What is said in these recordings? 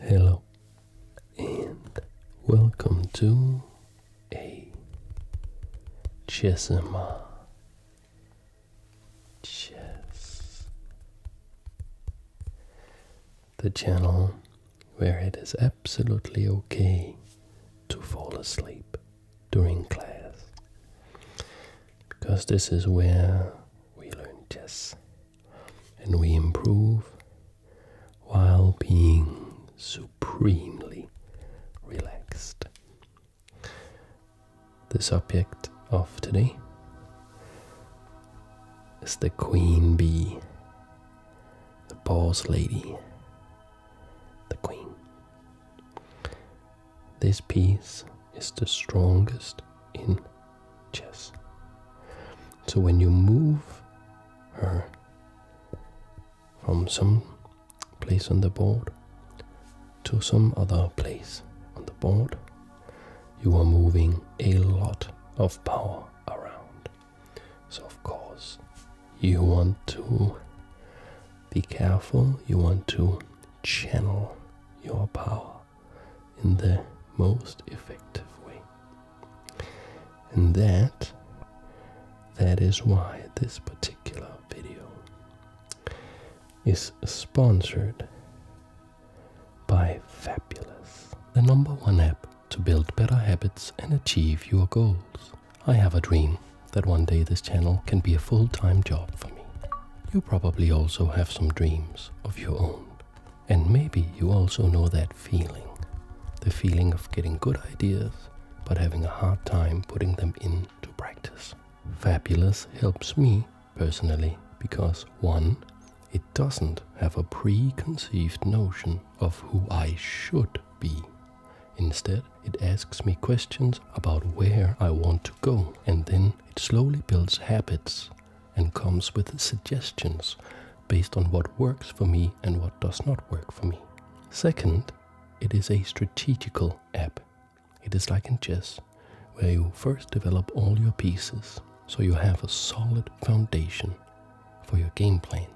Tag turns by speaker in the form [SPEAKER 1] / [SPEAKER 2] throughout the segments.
[SPEAKER 1] Hello and welcome to a Chessima Chess, the channel where it is absolutely okay to fall asleep during class because this is where we learn chess and we improve while being supremely relaxed. The subject of today is the queen bee, the boss lady, the queen. This piece is the strongest in chess. So when you move her from some place on the board to some other place on the board, you are moving a lot of power around. So, of course, you want to be careful, you want to channel your power in the most effective way. And that that is why this particular video is sponsored by Fabulous, the number one app to build better habits and achieve your goals. I have a dream that one day this channel can be a full-time job for me. You probably also have some dreams of your own. And maybe you also know that feeling the feeling of getting good ideas, but having a hard time putting them into practice. Fabulous helps me personally because one, it doesn't have a preconceived notion of who I should be. Instead, it asks me questions about where I want to go, and then it slowly builds habits and comes with suggestions based on what works for me and what does not work for me. Second, it is a strategical app. It is like in chess, where you first develop all your pieces so you have a solid foundation for your game plan.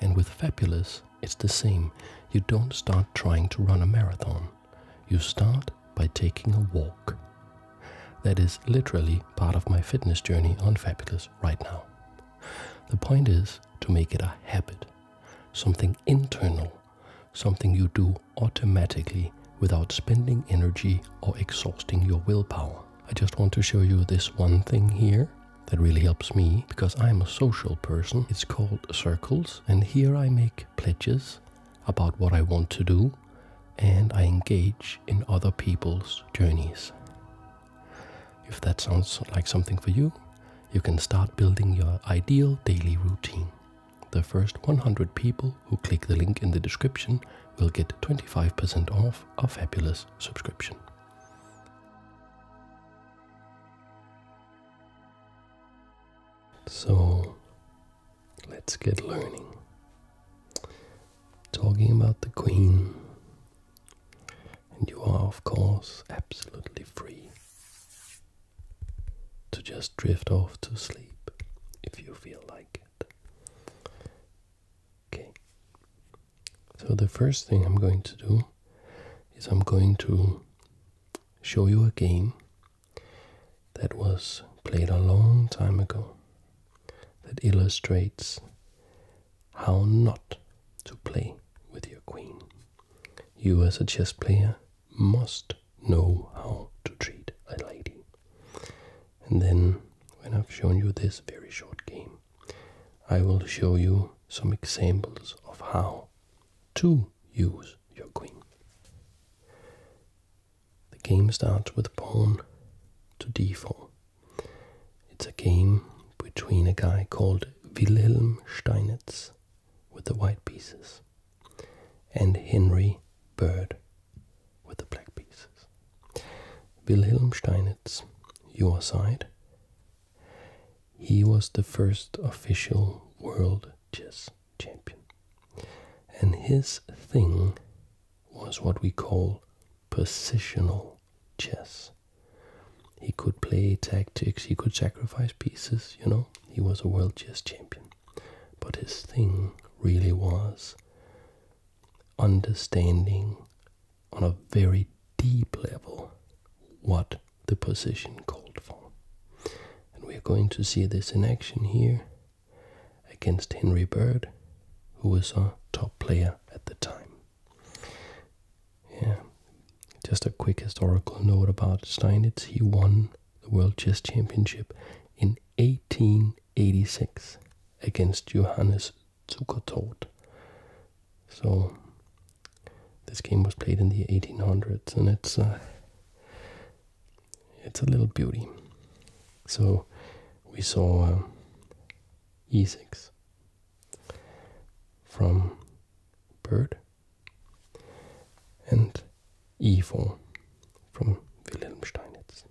[SPEAKER 1] And with Fabulous, it's the same. You don't start trying to run a marathon you start by taking a walk. That is literally part of my fitness journey on Fabulous right now. The point is to make it a habit, something internal, something you do automatically without spending energy or exhausting your willpower. I just want to show you this one thing here that really helps me because I'm a social person. It's called circles and here I make pledges about what I want to do, and I engage in other people's journeys. If that sounds like something for you, you can start building your ideal daily routine. The first 100 people who click the link in the description will get 25% off a fabulous subscription. So, Let's get learning. Talking about the Queen, and you are, of course, absolutely free to just drift off to sleep if you feel like it. Okay, so the first thing I'm going to do is I'm going to show you a game that was played a long time ago that illustrates how not to play with your queen. You, as a chess player, must know how to treat a lady. And then, when I've shown you this very short game, I will show you some examples of how to use your queen. The game starts with pawn to d4. It's a game between a guy called Wilhelm Steinitz with the white pieces and Henry Bird with the black pieces. Wilhelm Steinitz, your side. He was the first official world chess champion. And his thing was what we call positional chess. He could play tactics, he could sacrifice pieces, you know, he was a world chess champion. But his thing really was understanding on a very deep level what the position called for. And we're going to see this in action here against Henry Bird, who was a top player at the time. Yeah, just a quick historical note about Steinitz. He won the World Chess Championship in 1886 against Johannes Zukertort. So this game was played in the 1800s, and it's uh, it's a little beauty. So we saw uh, e6 from bird and e4 from Wilhelm Steinitz.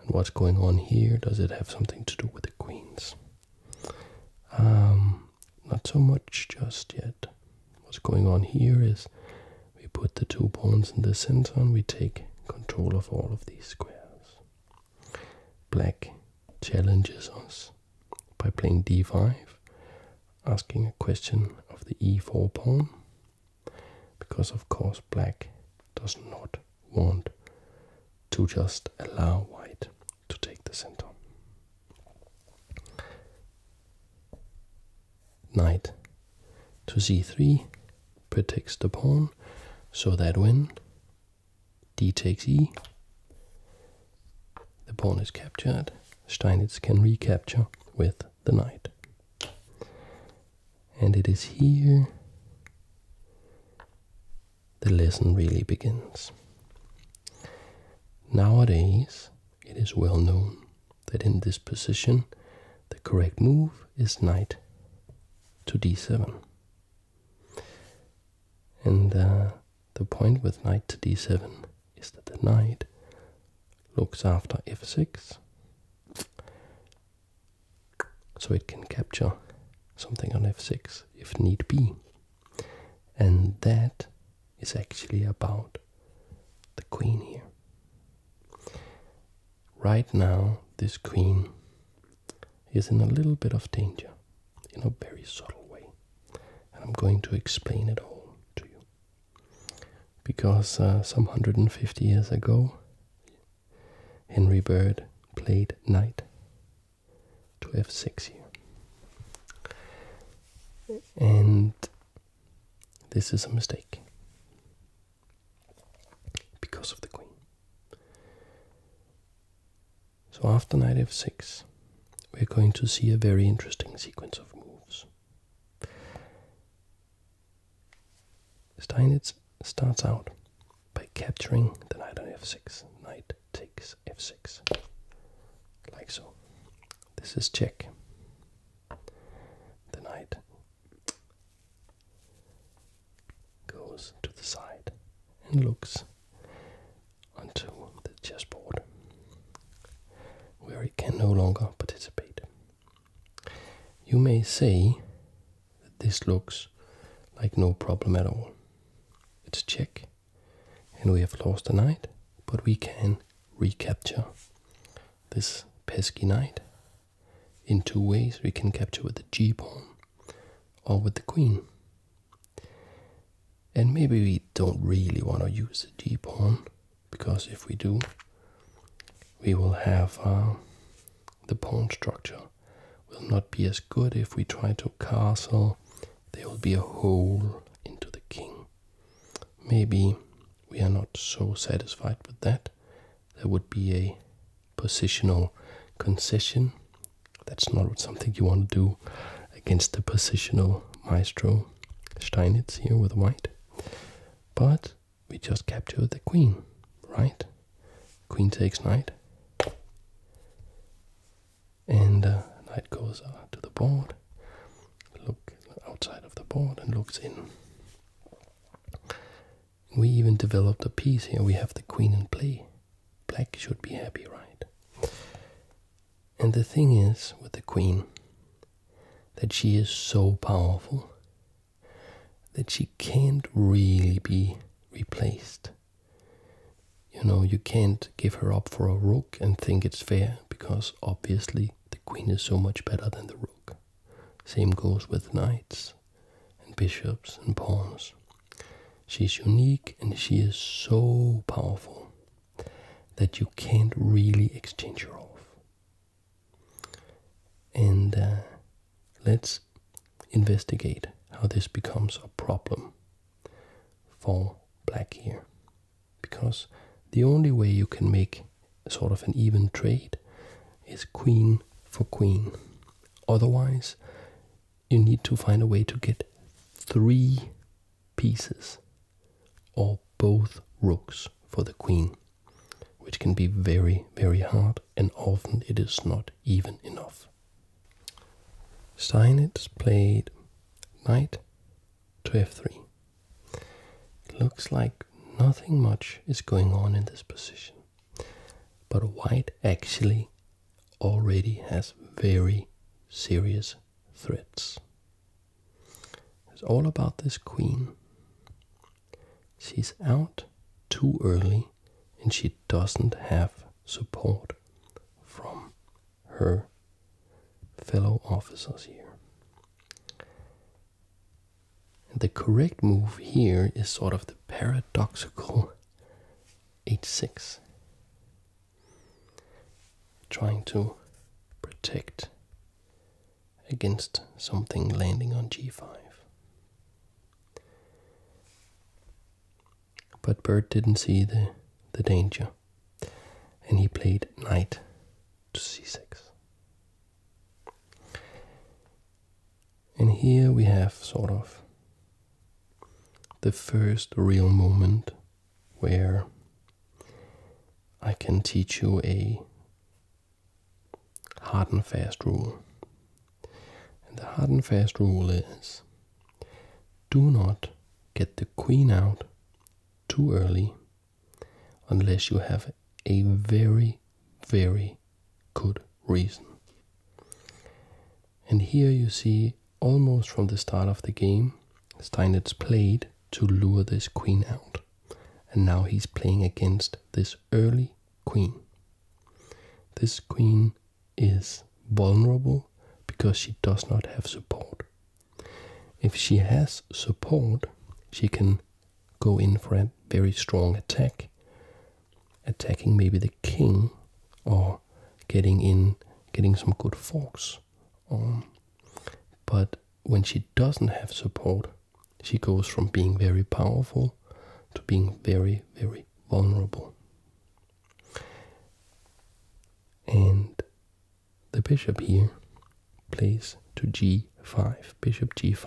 [SPEAKER 1] And what's going on here? Does it have something to do with the queens? Um, not so much just yet. What's going on here is we put the two pawns in the center and we take control of all of these squares. Black challenges us by playing d5, asking a question of the e4 pawn, because of course black does not want to just allow white to take the center knight to c3 protects the pawn so that when d takes e, the pawn is captured. Steinitz can recapture with the knight. And it is here the lesson really begins. Nowadays, it is well known that in this position the correct move is knight to d7. And uh, the point with knight to d7 is that the knight looks after f6 so it can capture something on f6 if need be. And that is actually about the queen here. Right now, this queen is in a little bit of danger in a very subtle way, and I'm going to explain it all to you. Because uh, some 150 years ago, Henry Bird played knight to f6 here. And this is a mistake. Because of the queen. So after knight f6, we're going to see a very interesting sequence of moves. Steinitz starts out by capturing the knight on f6. Knight takes f6. Like so. This is check. The knight goes to the side and looks onto the chessboard, where it can no longer participate. You may say that this looks like no problem at all. It's a check, and we have lost a knight, but we can recapture this pesky knight in two ways. We can capture with the g pawn or with the queen. And maybe we don't really want to use the g pawn because if we do, we will have uh, the pawn structure will not be as good if we try to castle. There will be a hole into the king maybe we are not so satisfied with that. There would be a positional concession. That's not something you want to do against the positional maestro Steinitz here with white. But we just capture the queen, right? Queen takes knight. And uh, knight goes uh, to the board, look outside of the board and looks in. We even developed a piece here. We have the queen in play. Black should be happy, right? And the thing is with the queen that she is so powerful that she can't really be replaced. You know, you can't give her up for a rook and think it's fair because obviously the queen is so much better than the rook. Same goes with knights and bishops and pawns. She's unique and she is so powerful that you can't really exchange her off. And uh, let's investigate how this becomes a problem for black here. Because the only way you can make sort of an even trade is queen for queen. Otherwise, you need to find a way to get three pieces or both rooks for the queen, which can be very, very hard, and often it is not even enough. Steinitz played knight to f3 it looks like nothing much is going on in this position, but white actually already has very serious threats. It's all about this queen. She's out too early and she doesn't have support from her fellow officers here. The correct move here is sort of the paradoxical h6, trying to protect against something landing on g5. But Bert didn't see the, the danger, and he played knight to c6. And here we have sort of the first real moment where I can teach you a hard and fast rule. And the hard and fast rule is do not get the queen out too early unless you have a very, very good reason. And here you see almost from the start of the game, Steinitz played to lure this queen out. And now he's playing against this early queen. This queen is vulnerable because she does not have support. If she has support, she can go in for a very strong attack, attacking maybe the king or getting in, getting some good forks. Um, but when she doesn't have support, she goes from being very powerful to being very, very vulnerable. And the bishop here Place to g5, bishop g5.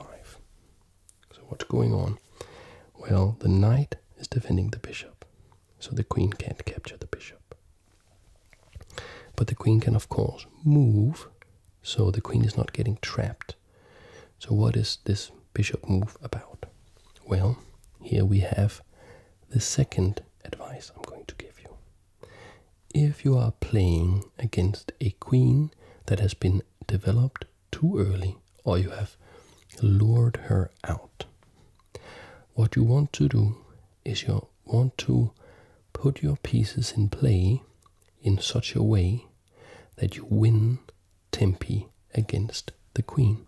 [SPEAKER 1] So what's going on? Well, the knight is defending the bishop, so the queen can't capture the bishop. But the queen can, of course, move, so the queen is not getting trapped. So what is this bishop move about? Well, here we have the second advice I'm going to give you if you are playing against a queen that has been developed too early or you have lured her out. What you want to do is you want to put your pieces in play in such a way that you win tempi against the queen.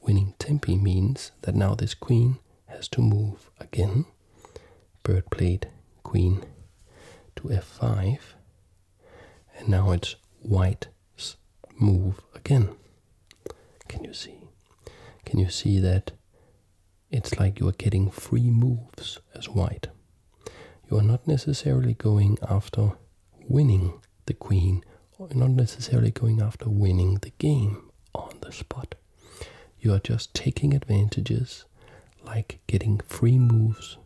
[SPEAKER 1] Winning tempi means that now this queen has to move again bird played queen to f5, and now it's white's move again. Can you see? Can you see that it's like you are getting free moves as white? You are not necessarily going after winning the queen, or not necessarily going after winning the game on the spot. You are just taking advantages like getting free moves,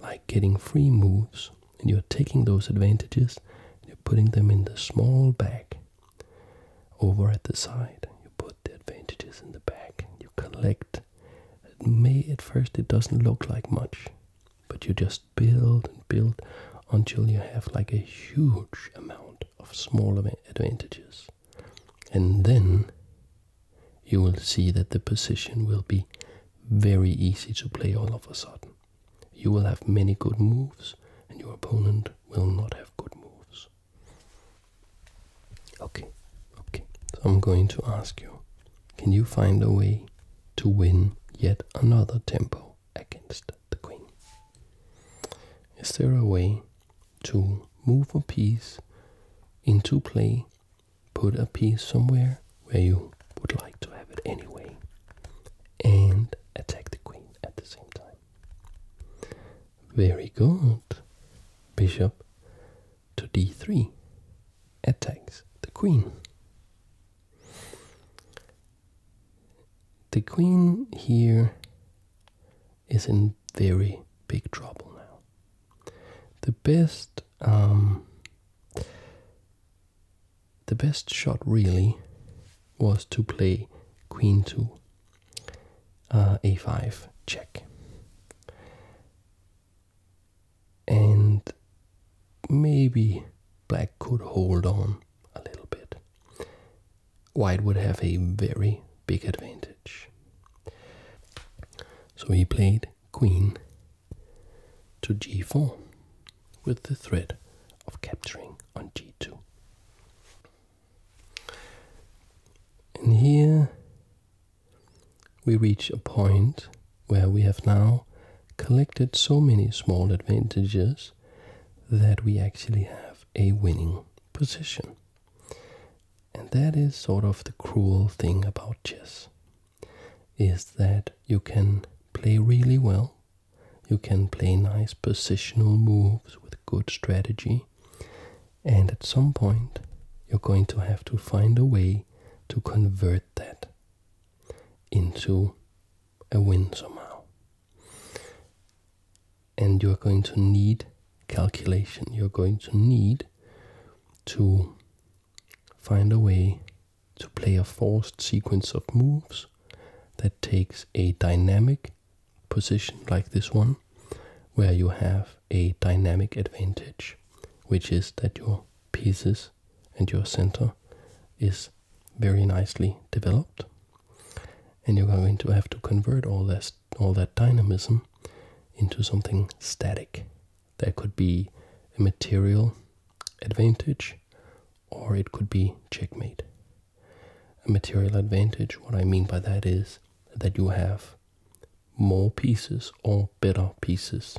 [SPEAKER 1] like getting free moves, and you're taking those advantages, and you're putting them in the small bag over at the side. You put the advantages in the bag, you collect. It may at first it doesn't look like much, but you just build and build until you have like a huge amount of small advantages and then you will see that the position will be very easy to play all of a sudden. You will have many good moves, and your opponent will not have good moves. Okay, okay. So I'm going to ask you can you find a way to win yet another tempo against the queen? Is there a way to move a piece into play put a piece somewhere where you would like to have it anyway and attack the queen at the same time. Very good. Bishop to d3 attacks the queen. The queen here is in very big trouble now. The best, um, the best shot really was to play queen to uh, a5 check, and maybe black could hold on a little bit. White would have a very big advantage. So he played queen to g4 with the threat of capturing on g2. And here we reach a point where we have now collected so many small advantages that we actually have a winning position. And that is sort of the cruel thing about chess is that you can play really well, you can play nice positional moves with good strategy, and at some point you're going to have to find a way to convert that into a win somehow. And you're going to need calculation, you're going to need to find a way to play a forced sequence of moves that takes a dynamic position like this one, where you have a dynamic advantage, which is that your pieces and your center is very nicely developed. And you're going to have to convert all this all that dynamism into something static. There could be a material advantage, or it could be checkmate. A material advantage, what I mean by that is that you have more pieces or better pieces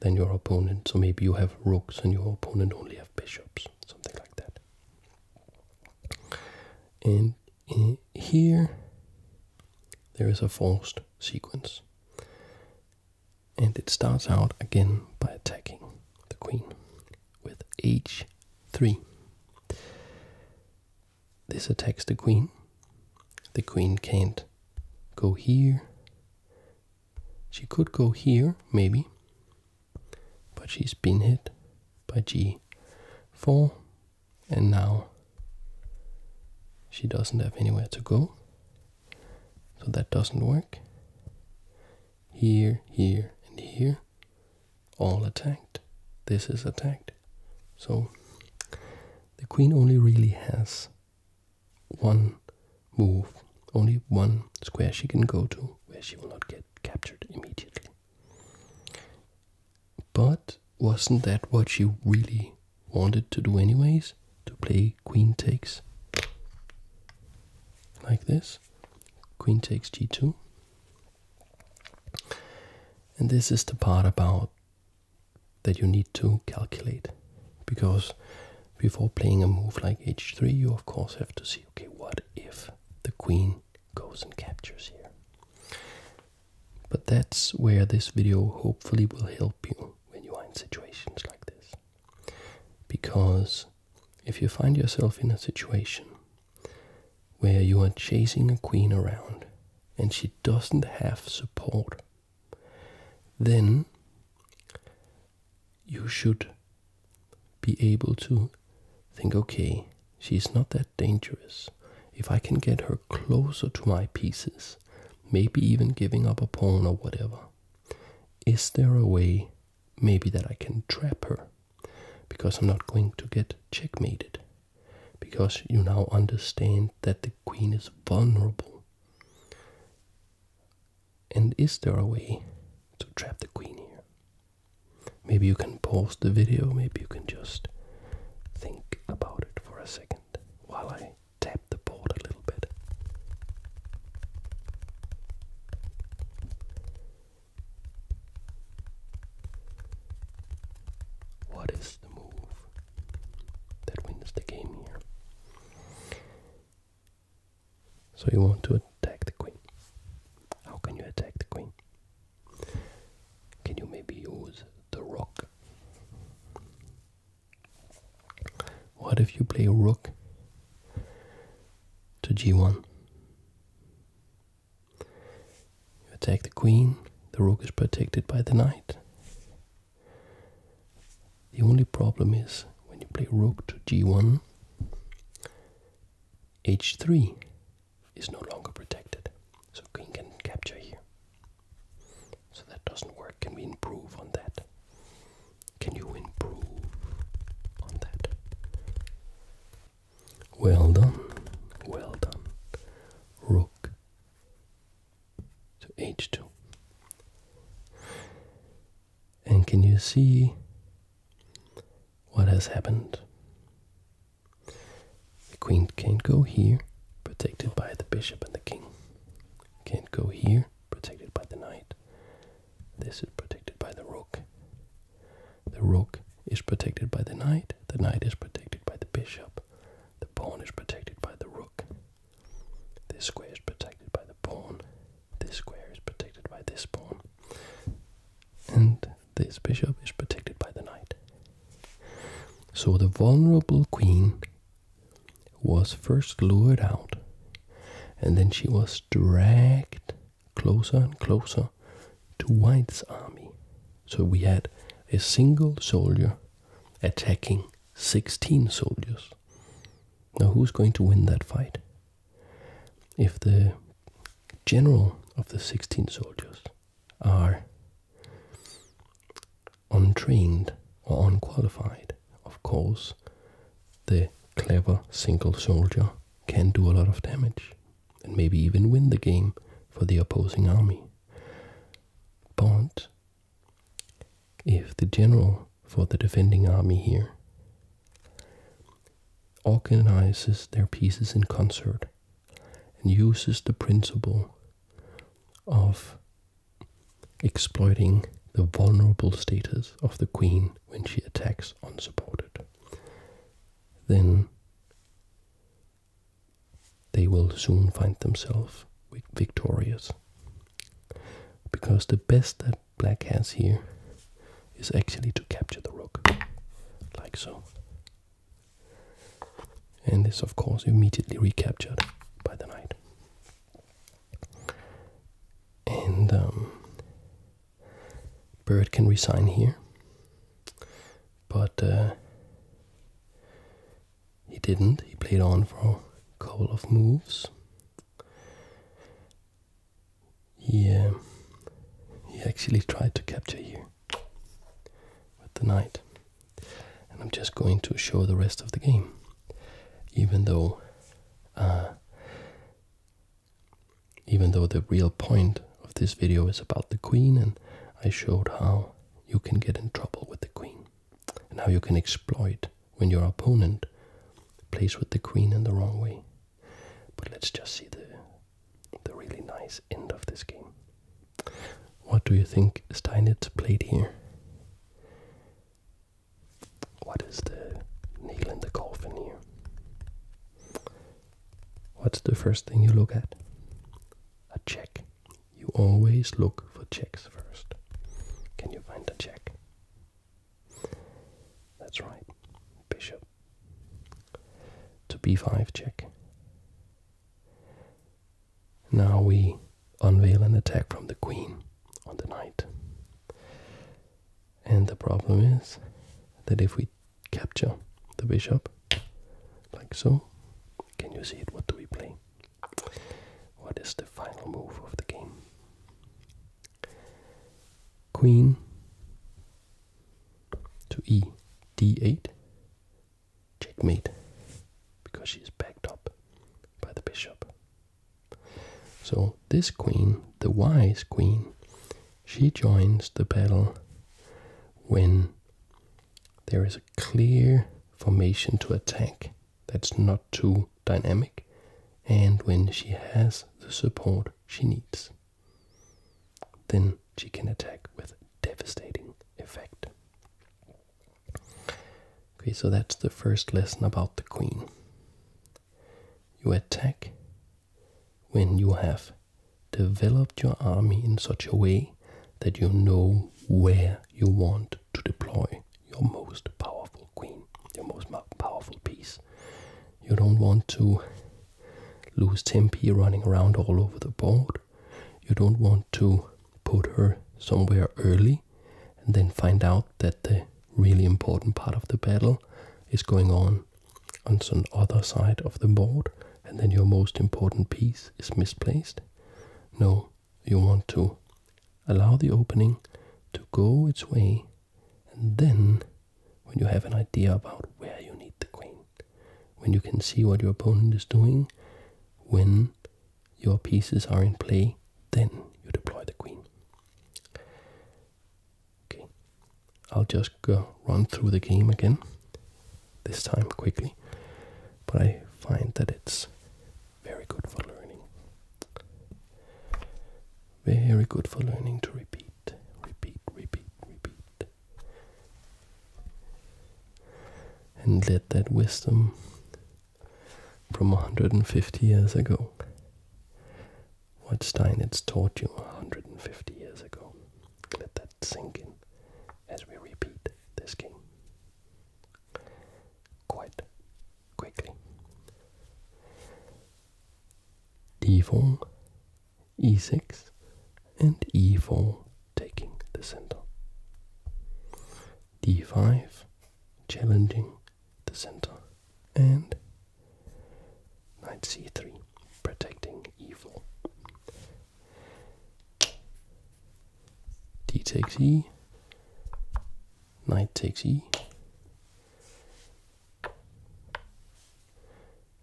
[SPEAKER 1] than your opponent. So maybe you have rooks and your opponent only have bishops, something like that. And eh, here there is a forced sequence. And it starts out again by attacking the queen with h3. This attacks the queen. The queen can't go here. She could go here, maybe, but she's been hit by g4 and now she doesn't have anywhere to go so that doesn't work here here and here all attacked this is attacked so the queen only really has one move only one square she can go to where she will not get captured immediately but wasn't that what she really wanted to do, anyways? To play queen takes like this queen takes g2. And this is the part about that you need to calculate because before playing a move like h3 you of course have to see okay what if the queen goes and captures here but that's where this video hopefully will help you when you are in situations like this. Because if you find yourself in a situation where you are chasing a queen around and she doesn't have support, then you should be able to think okay, she's not that dangerous. If I can get her closer to my pieces, maybe even giving up a pawn or whatever. Is there a way, maybe, that I can trap her? Because I'm not going to get checkmated. Because you now understand that the queen is vulnerable. And is there a way to trap the queen here? Maybe you can pause the video, maybe you can just think about it for a second while I tap the board a little bit. What is the move that wins the game here? So you want to attack the queen. How can you attack the queen? Can you maybe use the rook what if you play rook to g1? You attack the queen, the rook is protected by the knight. The only problem is when you play rook to g1, h3 is no longer protected, so queen can capture here. So that doesn't work. Can we improve on that? Can you improve on that? Well done. Well done. Rook to h2. And can you see what has happened? The queen can't go here, protected by the bishop and the king. Can't go here, protected by the knight. This is protected by the rook. The rook is protected by the knight. The knight is protected by the bishop. The pawn is protected by the rook. This square is protected by the pawn. This square is protected by this pawn. And this bishop is protected by the knight. So the vulnerable queen was first lured out, and then she was dragged closer and closer to White's army. So we had a single soldier attacking 16 soldiers. Now, who's going to win that fight? If the general of the 16 soldiers are untrained or unqualified. Of course, the clever single soldier can do a lot of damage and maybe even win the game for the opposing army. But if the general for the defending army here organizes their pieces in concert and uses the principle of exploiting the vulnerable status of the queen when she attacks unsupported. Then they will soon find themselves victorious. Because the best that black has here is actually to capture the rook, like so and this, of course, immediately recaptured by the knight. And um, Bird can resign here, but uh, he didn't. He played on for a couple of moves. He, um, he actually tried to capture here with the knight and I'm just going to show the rest of the game, even though, uh, even though the real point of this video is about the queen, and I showed how you can get in trouble with the queen, and how you can exploit when your opponent plays with the queen in the wrong way. But let's just see the the really nice end of this game. What do you think Steinitz played here? What is the nail in the coffin here? What's the first thing you look at? A check. You always look for checks first. Can you find a check? That's right. Bishop. To b5 check. Now we unveil an attack from the queen on the knight. And the problem is that if we capture the bishop, like so, can you see it? What do we play? What is the final move of the game? Queen to e d8 checkmate because she is backed up by the bishop. So this queen, the wise queen, she joins the battle when there is a clear formation to attack that's not too dynamic and when she has the support she needs. Then she can attack with devastating effect. Okay, so that's the first lesson about the queen. You attack when you have developed your army in such a way that you know where you want to deploy your most powerful queen, your most powerful piece. You don't want to lose tempi running around all over the board. You don't want to put her somewhere early and then find out that the really important part of the battle is going on on some other side of the board and then your most important piece is misplaced. No, you want to allow the opening to go its way and then when you have an idea about where you need the queen, when you can see what your opponent is doing, when your pieces are in play, then you deploy the queen. Okay, I'll just run through the game again, this time quickly, but I find that it's very good for learning. Very good for learning to repeat, repeat, repeat, repeat. And let that wisdom from 150 years ago. What Steinitz taught you 150 years ago. Let that sink in as we repeat this game quite quickly. d4, e6, and e4 taking the center. d5, challenging the center. And knight c3, protecting evil. d takes e, knight takes e.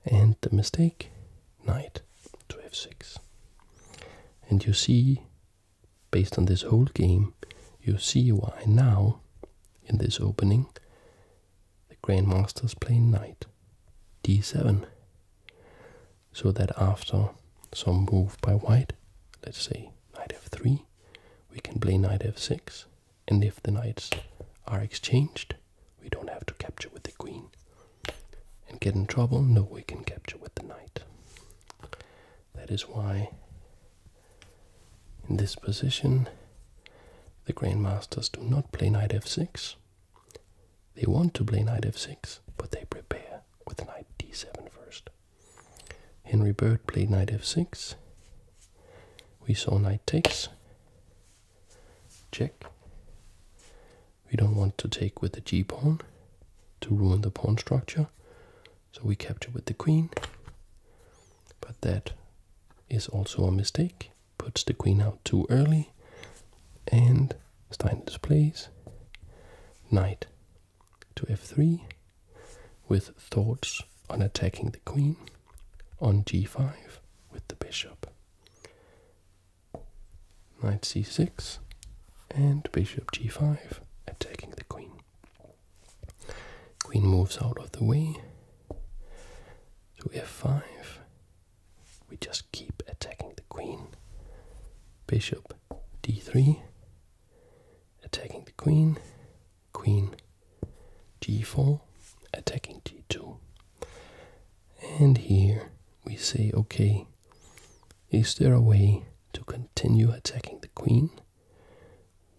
[SPEAKER 1] And the mistake, knight to f6. And you see based on this whole game, you see why now, in this opening, the grandmasters play knight d7. So that after some move by white, let's say knight f3, we can play knight f6, and if the knights are exchanged, we don't have to capture with the queen. And get in trouble? No, we can capture with the knight. That is why, in this position, the grandmasters do not play knight f6. They want to play knight f6, but they prepare with knight d7 first. Henry Bird played knight f6. We saw knight takes. Check. We don't want to take with the g pawn to ruin the pawn structure, so we capture with the queen, but that is also a mistake. Puts the queen out too early, and Stein displays knight to f3 with thoughts on attacking the queen on g5 with the bishop. Knight c6, and bishop g5, attacking the queen. Queen moves out of the way to f5. We just keep attacking the queen. Bishop d3, attacking the queen. Queen g4, attacking g2. And here we say, okay, is there a way to continue attacking the queen?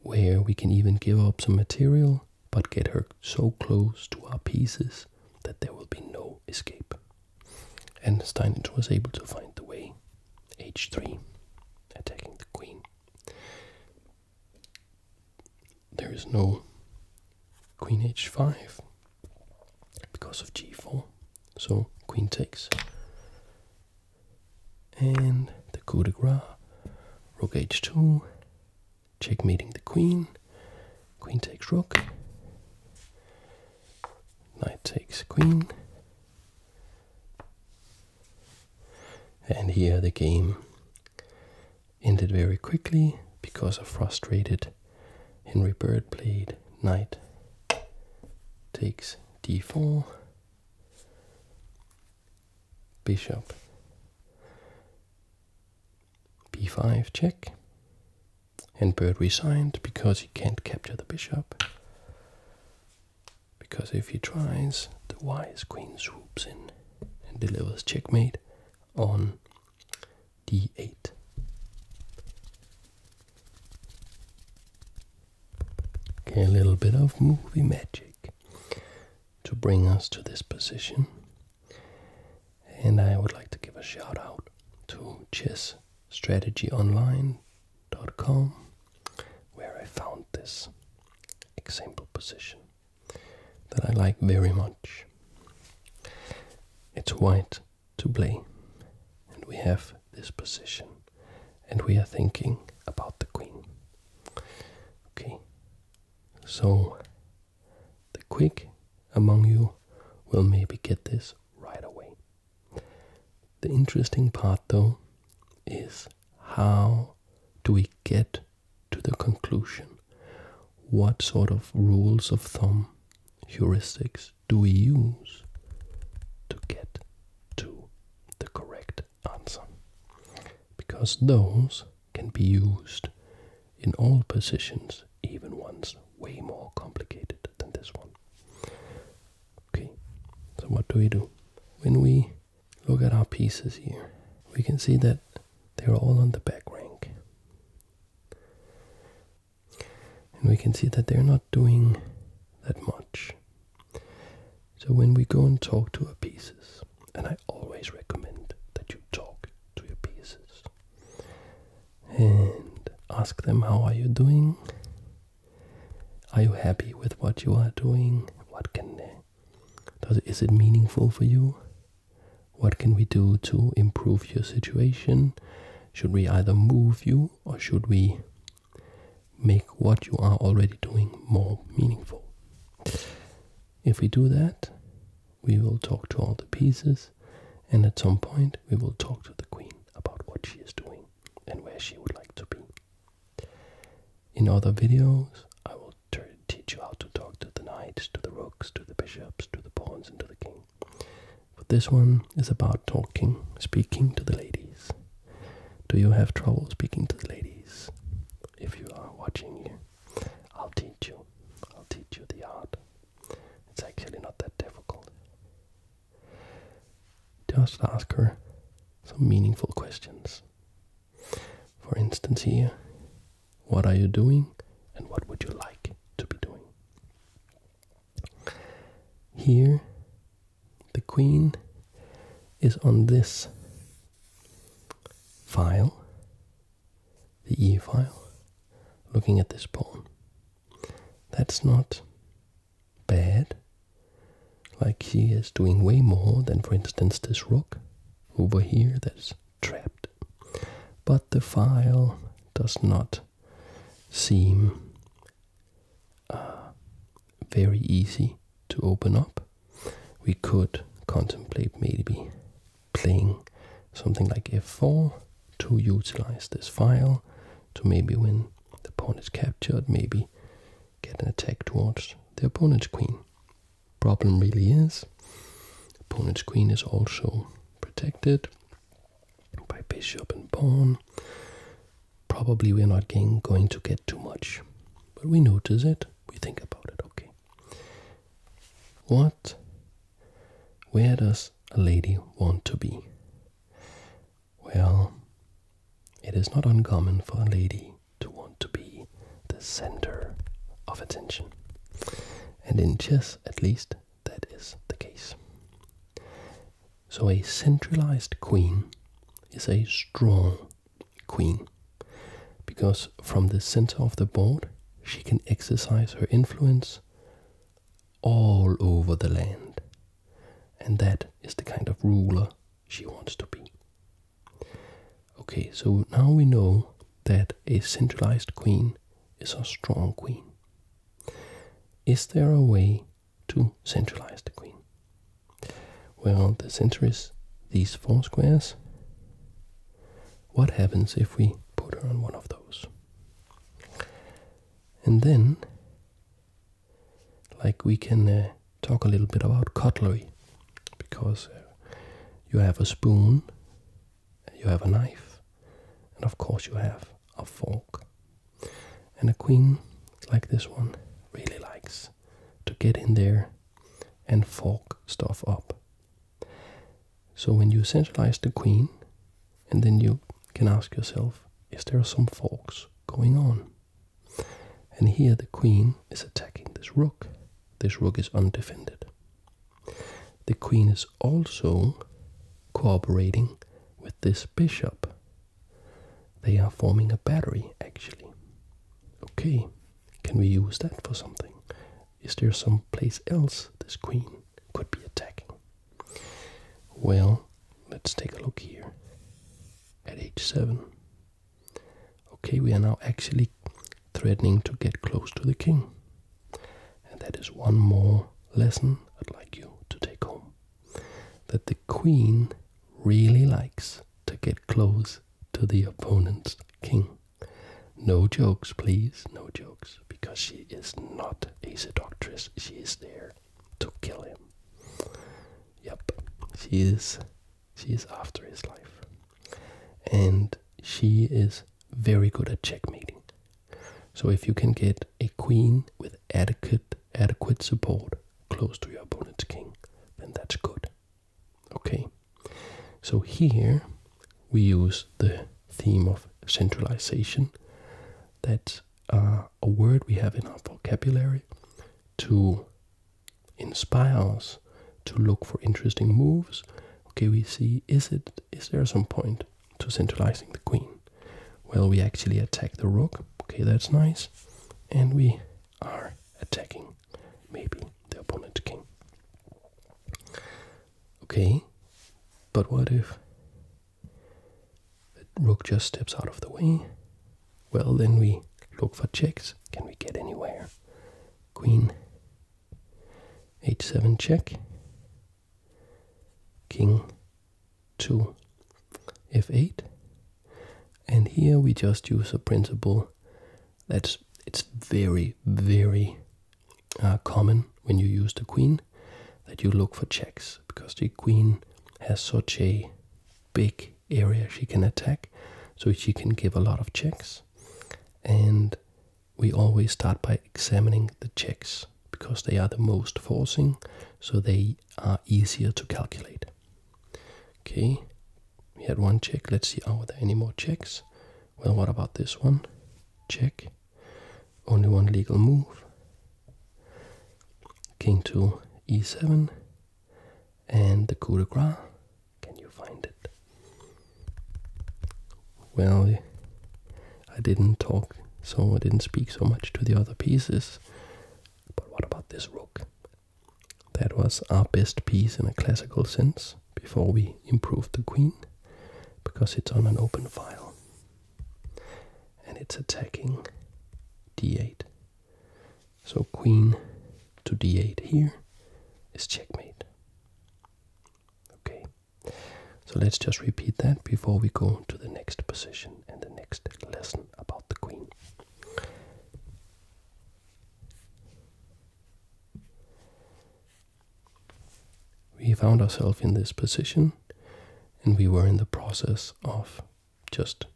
[SPEAKER 1] Where we can even give up some material, but get her so close to our pieces that there will be no escape. And Steinitz was able to find the way. h3, attacking the queen. There is no queen h5 because of g4. So queen takes, and the coup de grace, rook h2, checkmating the queen, queen takes rook, knight takes queen, and here the game ended very quickly because a frustrated Henry Bird played knight takes d4, bishop b5 check, and bird resigned because he can't capture the bishop. Because if he tries, the wise queen swoops in and delivers checkmate on d8. Okay, a little bit of movie magic to bring us to this position. And I would like to give a shout out to chessstrategyonline.com where I found this example position that I like very much. It's white to play, and we have this position and we are thinking about the queen. Okay, so the quick among you will maybe get this right away. The interesting part though is how do we get to the conclusion? What sort of rules of thumb, heuristics do we use to get to the correct answer? Because those can be used in all positions, even ones way more complicated than this one. Okay, so what do we do? When we look at our pieces here, we can see that they're all on the back rank. And we can see that they're not doing that much. So when we go and talk to our pieces, and I always recommend that you talk to your pieces and ask them how are you doing? Are you happy with what you are doing? What can does is it meaningful for you? What can we do to improve your situation? Should we either move you or should we make what you are already doing more meaningful. If we do that, we will talk to all the pieces, and at some point, we will talk to the queen about what she is doing and where she would like to be. In other videos, I will teach you how to talk to the knights, to the rooks, to the bishops, to the pawns, and to the king. For this one, is about talking, speaking to the ladies. Do you have trouble speaking to the ladies? If you are watching, I'll teach you. I'll teach you the art. It's actually not that difficult. Just ask her some meaningful questions. For instance, here, what are you doing and what would you like to be doing? Here, the queen is on this file, the e file, looking at this pawn. That's not bad. Like she is doing way more than, for instance, this rook over here that's trapped. But the file does not seem very easy to open up. We could contemplate maybe playing something like f4 to utilize this file to maybe when the pawn is captured, maybe get an attack towards the opponent's queen. Problem really is, opponent's queen is also protected by bishop and pawn probably we're not going to get too much. But we notice it, we think about it, okay. What, where does a lady want to be? Well, it is not uncommon for a lady to want to be the center of attention. And in chess, at least, that is the case. So a centralized queen is a strong queen because from the center of the board she can exercise her influence all over the land. And that is the kind of ruler she wants to be. Okay, so now we know that a centralized queen is a strong queen. Is there a way to centralize the queen. Well, the center is these four squares. What happens if we put her on one of those? And then, like we can uh, talk a little bit about cutlery, because uh, you have a spoon, you have a knife, and of course you have a fork. And a queen like this one really likes to get in there and fork stuff up. So when you centralize the queen, and then you can ask yourself, is there some forks going on? And here the queen is attacking this rook. This rook is undefended. The queen is also cooperating with this bishop they are forming a battery actually. Okay, can we use that for something? Is there some place else this queen could be attacking? Well, let's take a look here at h7. Okay, we are now actually threatening to get close to the king. And that is one more lesson I'd like you to take home that the queen really likes to get close to the opponent's king. No jokes, please, no jokes, because she is not a seductress. She is there to kill him. Yep, she is. She is after his life, and she is very good at checkmating. So if you can get a queen with adequate adequate support close to your opponent's king, then that's good. Okay, so here we use the theme of centralization. That's uh, a word we have in our vocabulary to inspire us to look for interesting moves. Okay, we see is it is there some point to centralizing the queen? Well, we actually attack the rook. Okay, that's nice. And we are attacking maybe the opponent king. Okay, but what if the rook just steps out of the way? Well, then we look for checks. Can we get anywhere? Queen h7 check, king to f8 and here we just use a principle that's it's very very uh, common when you use the queen that you look for checks because the queen has such a big area she can attack so she can give a lot of checks and we always start by examining the checks because they are the most forcing so they are easier to calculate Okay, we had one check. Let's see, are there any more checks? Well, what about this one? Check. Only one legal move. King to e7. And the coup de grace. Can you find it? Well, I didn't talk, so I didn't speak so much to the other pieces. But what about this rook? That was our best piece in a classical sense before we improved the queen because it's on an open file and it's attacking d8. So queen to d8 here is checkmate. Okay, so let's just repeat that before we go to the next position and the next lesson about the queen. We found ourselves in this position, and we were in the process of just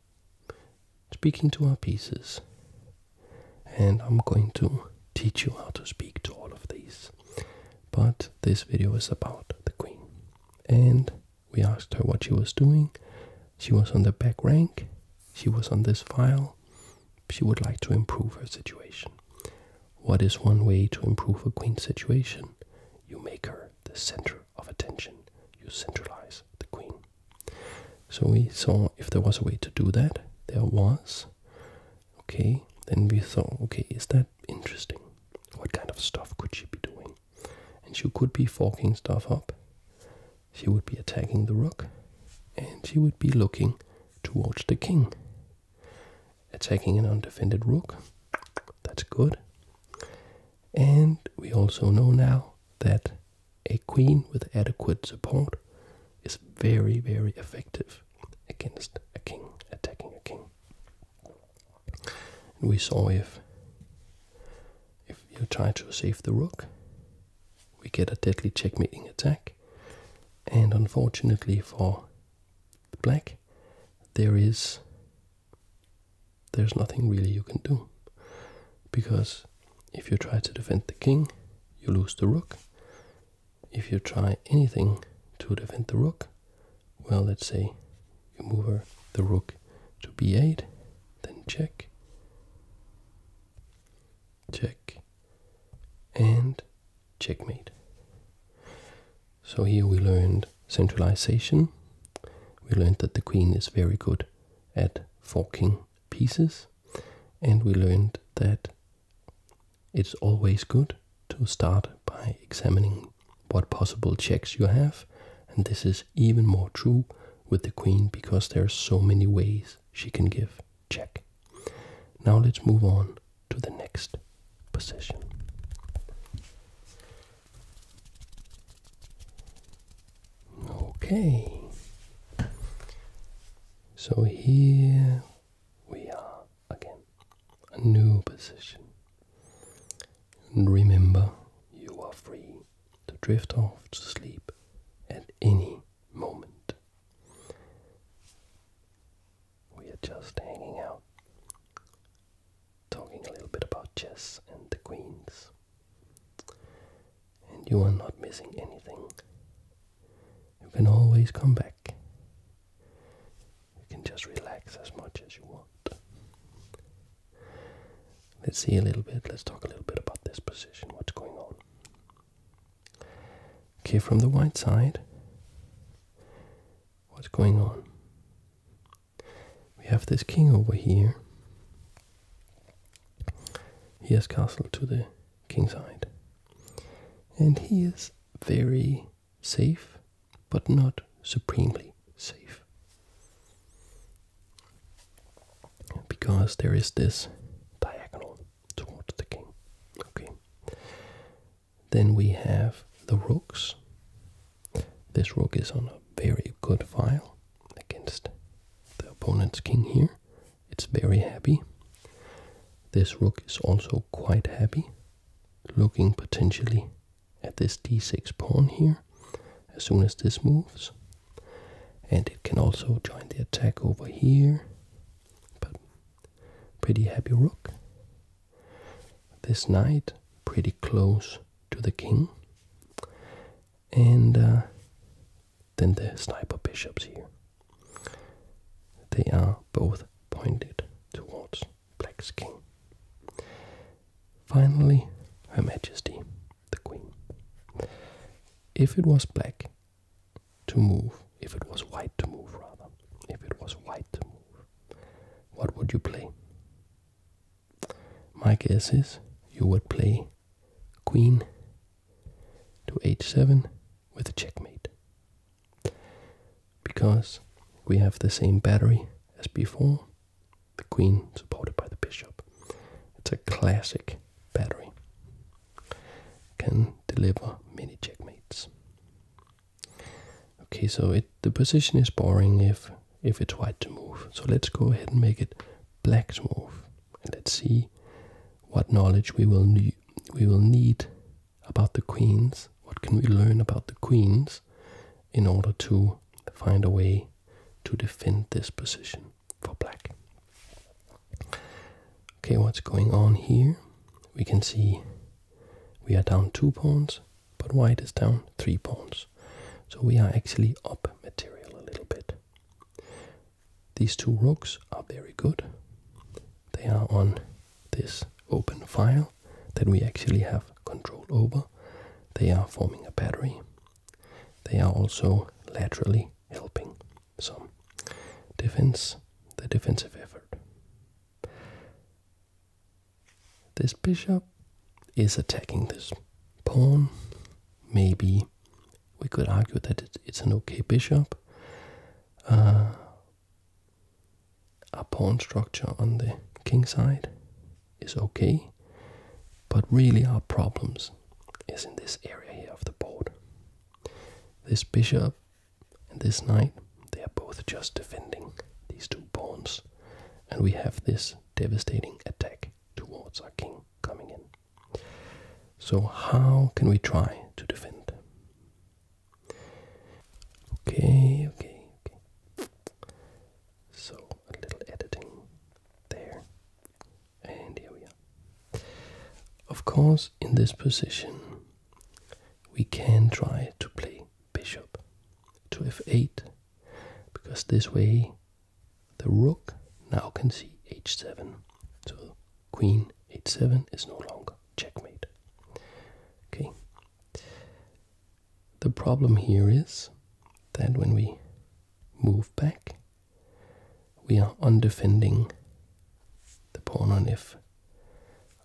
[SPEAKER 1] speaking to our pieces. And I'm going to teach you how to speak to all of these. But this video is about the queen. And we asked her what she was doing. She was on the back rank. She was on this file. She would like to improve her situation. What is one way to improve a queen's situation? You make her the center of attention. You centralize the queen. So we saw if there was a way to do that. There was. Okay, then we thought, okay, is that interesting? What kind of stuff could she be doing? and she could be forking stuff up. She would be attacking the rook, and she would be looking towards the king. Attacking an undefended rook, that's good. And we also know now that a queen with adequate support is very, very effective against a king, attacking a king. And we saw if if you try to save the rook, we get a deadly checkmating attack. And unfortunately for the black, there is there's nothing really you can do. Because if you try to defend the king, you lose the rook. If you try anything to defend the rook, well, let's say you move the rook to b8, then check, check, and checkmate. So here we learned centralization. We learned that the queen is very good at forking pieces, and we learned that it's always good to start by examining what possible checks you have, and this is even more true with the queen because there are so many ways she can give check. Now let's move on to the next position. Okay. So here we are again. A new position. And remember, you are free to drift off to sleep at any moment. We are just hanging out, talking a little bit about chess and the queens. And you are not missing anything. You can always come back. You can just relax as much as you want. Let's see a little bit, let's talk a little bit about this position, what's going on. Okay, from the white side, what's going on? We have this king over here. He has castle to the king side. And he is very safe, but not supremely safe because there is this diagonal towards the king. Okay. Then we have the rooks. This rook is on a very good file against the opponent's king here. It's very happy. This rook is also quite happy, looking potentially at this d6 pawn here as soon as this moves and it can also join the attack over here but pretty happy rook this knight pretty close to the king and uh, then the sniper bishops here they are both pointed towards black's king finally her majesty the queen. If it was black to move, if it was white to move rather, if it was white to move, what would you play? My guess is you would play queen to h7 with a checkmate. Because we have the same battery as before, the queen supported by the bishop. It's a classic battery. Can deliver many checkmates. Okay, so it the position is boring if if it's white to move. So let's go ahead and make it black to move, and let's see what knowledge we will need we will need about the queens. What can we learn about the queens in order to find a way to defend this position? for black. Okay, what's going on here? We can see we are down two pawns, but white is down three pawns. So we are actually up material a little bit. These two rooks are very good. They are on this open file that we actually have control over. They are forming a battery, they are also laterally helping some defense, the defensive effort. This bishop is attacking this pawn. Maybe we could argue that it's an okay bishop. Uh, a pawn structure on the king side is okay, but really our problems is in this area here of the board. This bishop and this knight, they are both just defending these two pawns, and we have this devastating attack towards our king coming in. So, how can we try to defend? Okay, okay, okay. So, a little editing there and here we are. Of course, in this position, we can try to play bishop to f8 because this way the rook now can see h7. So queen h7 is no longer checkmate. Okay. The problem here is that when we move back, we are undefending the pawn on f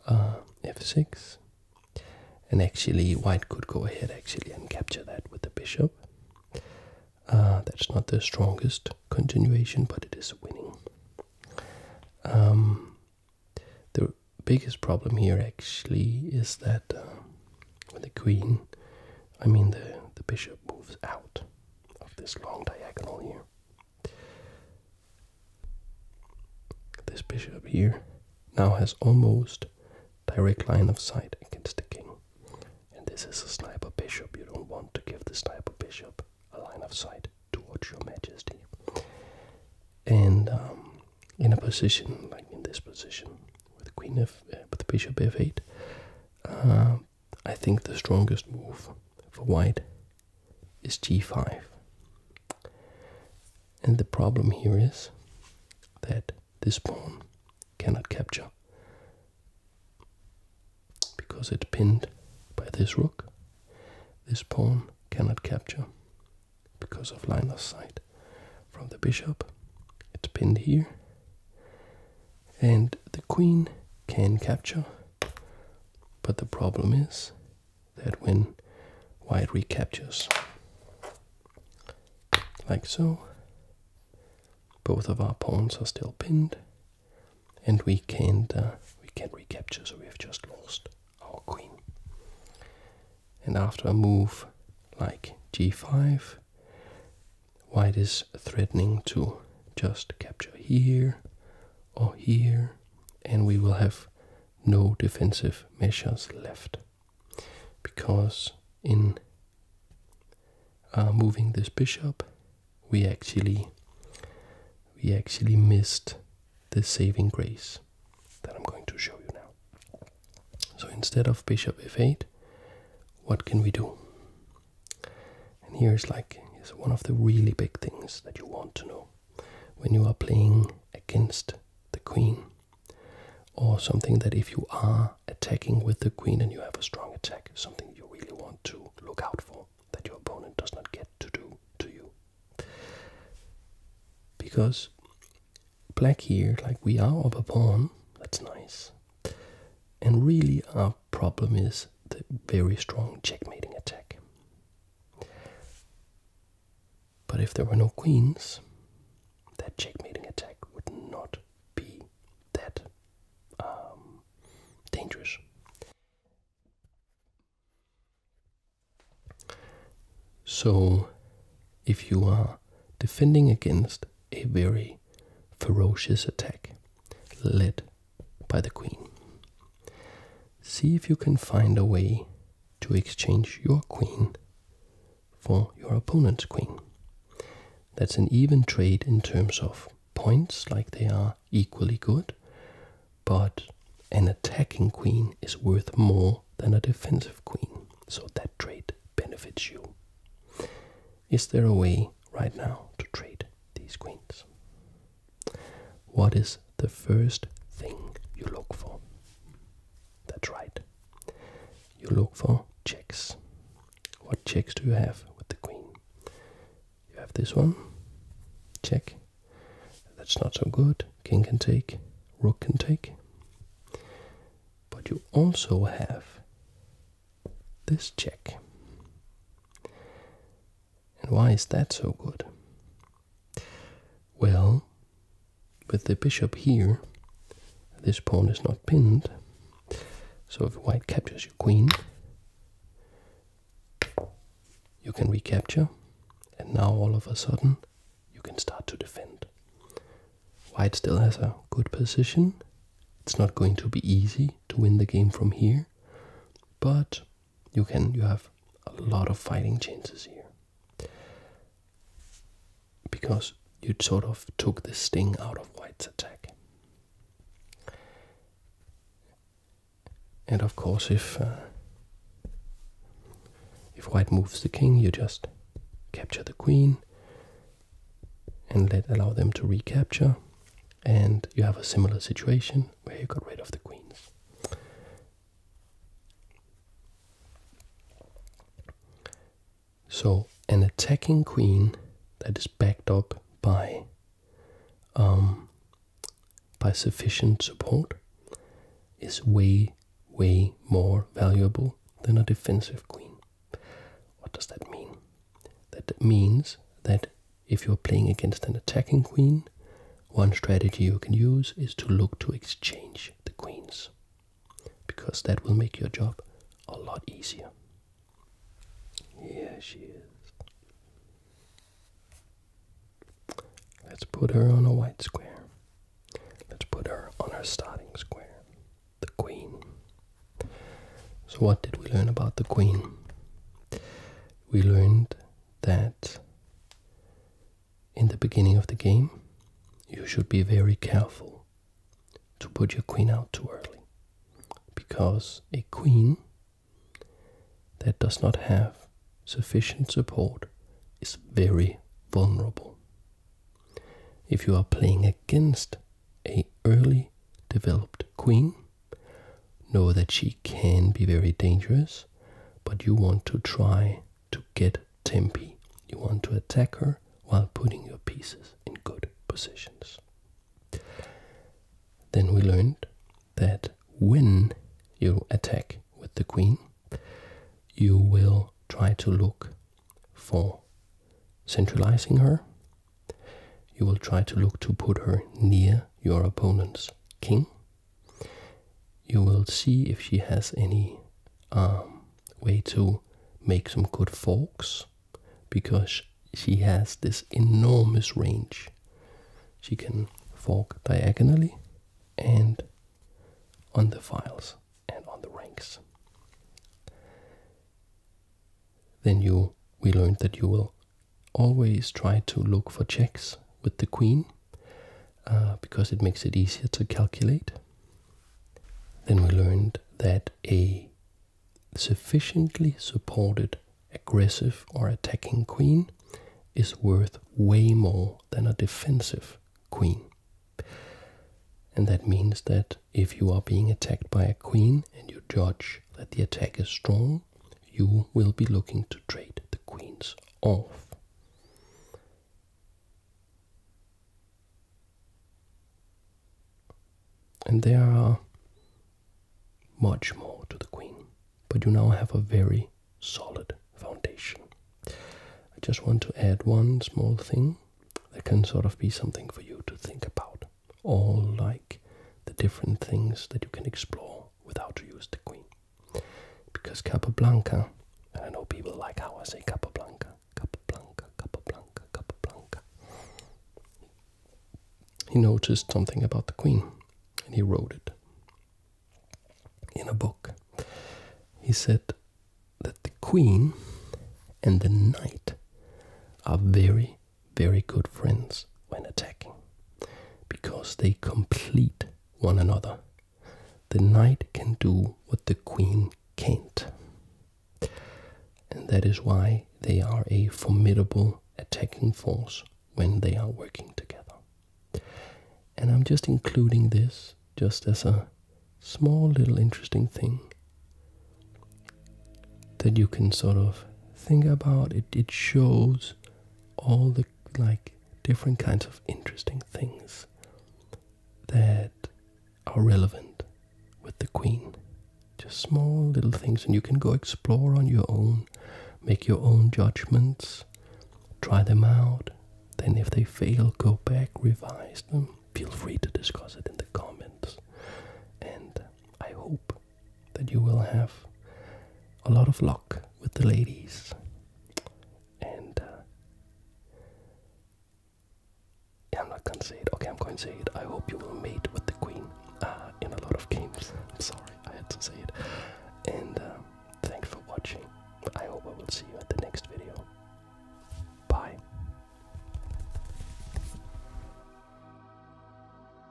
[SPEAKER 1] uh, f6 and actually white could go ahead actually and capture that with the bishop uh, that's not the strongest continuation but it is winning um, the biggest problem here actually is that uh, the queen i mean the the bishop moves out of this long diagonal here. This bishop here now has almost direct line of sight against the king. And this is a sniper bishop. You don't want to give the sniper bishop a line of sight towards your majesty. And um, in a position like in this position, with the queen of uh, with bishop of 8 uh, I think the strongest move for white is g5. And the problem here is that this pawn cannot capture because it's pinned by this rook. This pawn cannot capture because of line of sight from the bishop. It's pinned here. And the queen can capture, but the problem is that when white recaptures, like so, both of our pawns are still pinned, and we can't uh, we can't recapture, so we have just lost our queen. And after a move like g5, why is threatening to just capture here or here, and we will have no defensive measures left because in uh, moving this bishop we actually we actually missed the saving grace that I'm going to show you now. So instead of bishop f8, what can we do? And here's like is one of the really big things that you want to know when you are playing against the queen, or something that if you are attacking with the queen and you have a strong attack, something you really want to look out for that your opponent does not get to do to you. Because black here, like we are of a pawn, that's nice. And really, our problem is the very strong checkmating attack. But if there were no queens, that checkmating attack would not be that um, dangerous. So, if you are defending against a very ferocious attack led by the queen. See if you can find a way to exchange your queen for your opponent's queen. That's an even trade in terms of points, like they are equally good, but an attacking queen is worth more than a defensive queen, so that trade benefits you. Is there a way right now to trade these queens? What is the first thing you look for? That's right. You look for checks. What checks do you have with the queen? You have this one. Check. That's not so good. King can take, rook can take. But you also have this check. And why is that so good? Well, with the bishop here, this pawn is not pinned. So if white captures your queen, you can recapture, and now all of a sudden you can start to defend. White still has a good position, it's not going to be easy to win the game from here, but you can you have a lot of fighting chances here. Because you sort of took the sting out of White's attack. And of course, if uh, if White moves the king, you just capture the queen, and let allow them to recapture and you have a similar situation where you got rid of the queens so an attacking queen that is backed up by um, by sufficient support is way way more valuable than a defensive queen what does that mean? That means that if you're playing against an attacking queen, one strategy you can use is to look to exchange the queens, because that will make your job a lot easier. Yeah, she is. Let's put her on a white square. Let's put her on her starting square. The queen. So, what did we learn about the queen? We learned that in the beginning of the game, you should be very careful to put your queen out too early because a queen that does not have sufficient support is very vulnerable. If you are playing against a early developed queen, know that she can be very dangerous, but you want to try to get Tempe. You want to attack her while putting your pieces in good positions. Then we learned that when you attack with the queen, you will try to look for centralizing her you will try to look to put her near your opponent's king. You will see if she has any um, way to make some good forks because she has this enormous range. She can fork diagonally and on the files and on the ranks then you we learned that you will always try to look for checks with the queen uh, because it makes it easier to calculate. Then we learned that a sufficiently supported aggressive or attacking queen is worth way more than a defensive queen. And that means that if you are being attacked by a queen, and you judge that the attack is strong, you will be looking to trade the queens off. And there are much more to the queen, but you now have a very solid foundation. I just want to add one small thing that can sort of be something for you to think about all like the different things that you can explore without to use the queen. Because Capablanca, I know people like how I say Capablanca, Capablanca, Capablanca, Capablanca. He noticed something about the queen and he wrote it in a book. He said that the queen and the knight are very very good friends when attacking because they complete one another. The knight can do what the queen can't. And that is why they are a formidable attacking force when they are working together. And I'm just including this just as a small little interesting thing that you can sort of think about it it shows all the like different kinds of interesting things that are relevant with the queen just small little things and you can go explore on your own make your own judgments try them out then if they fail go back revise them feel free to discuss it in the comments and i hope that you will have a lot of luck with the ladies. And uh, I'm not gonna say it. Okay, I'm going to say it. I hope you will meet with the queen uh, in a lot of games. I'm sorry, I had to say it. And uh, thanks for watching. I hope I will see you at the next video. Bye.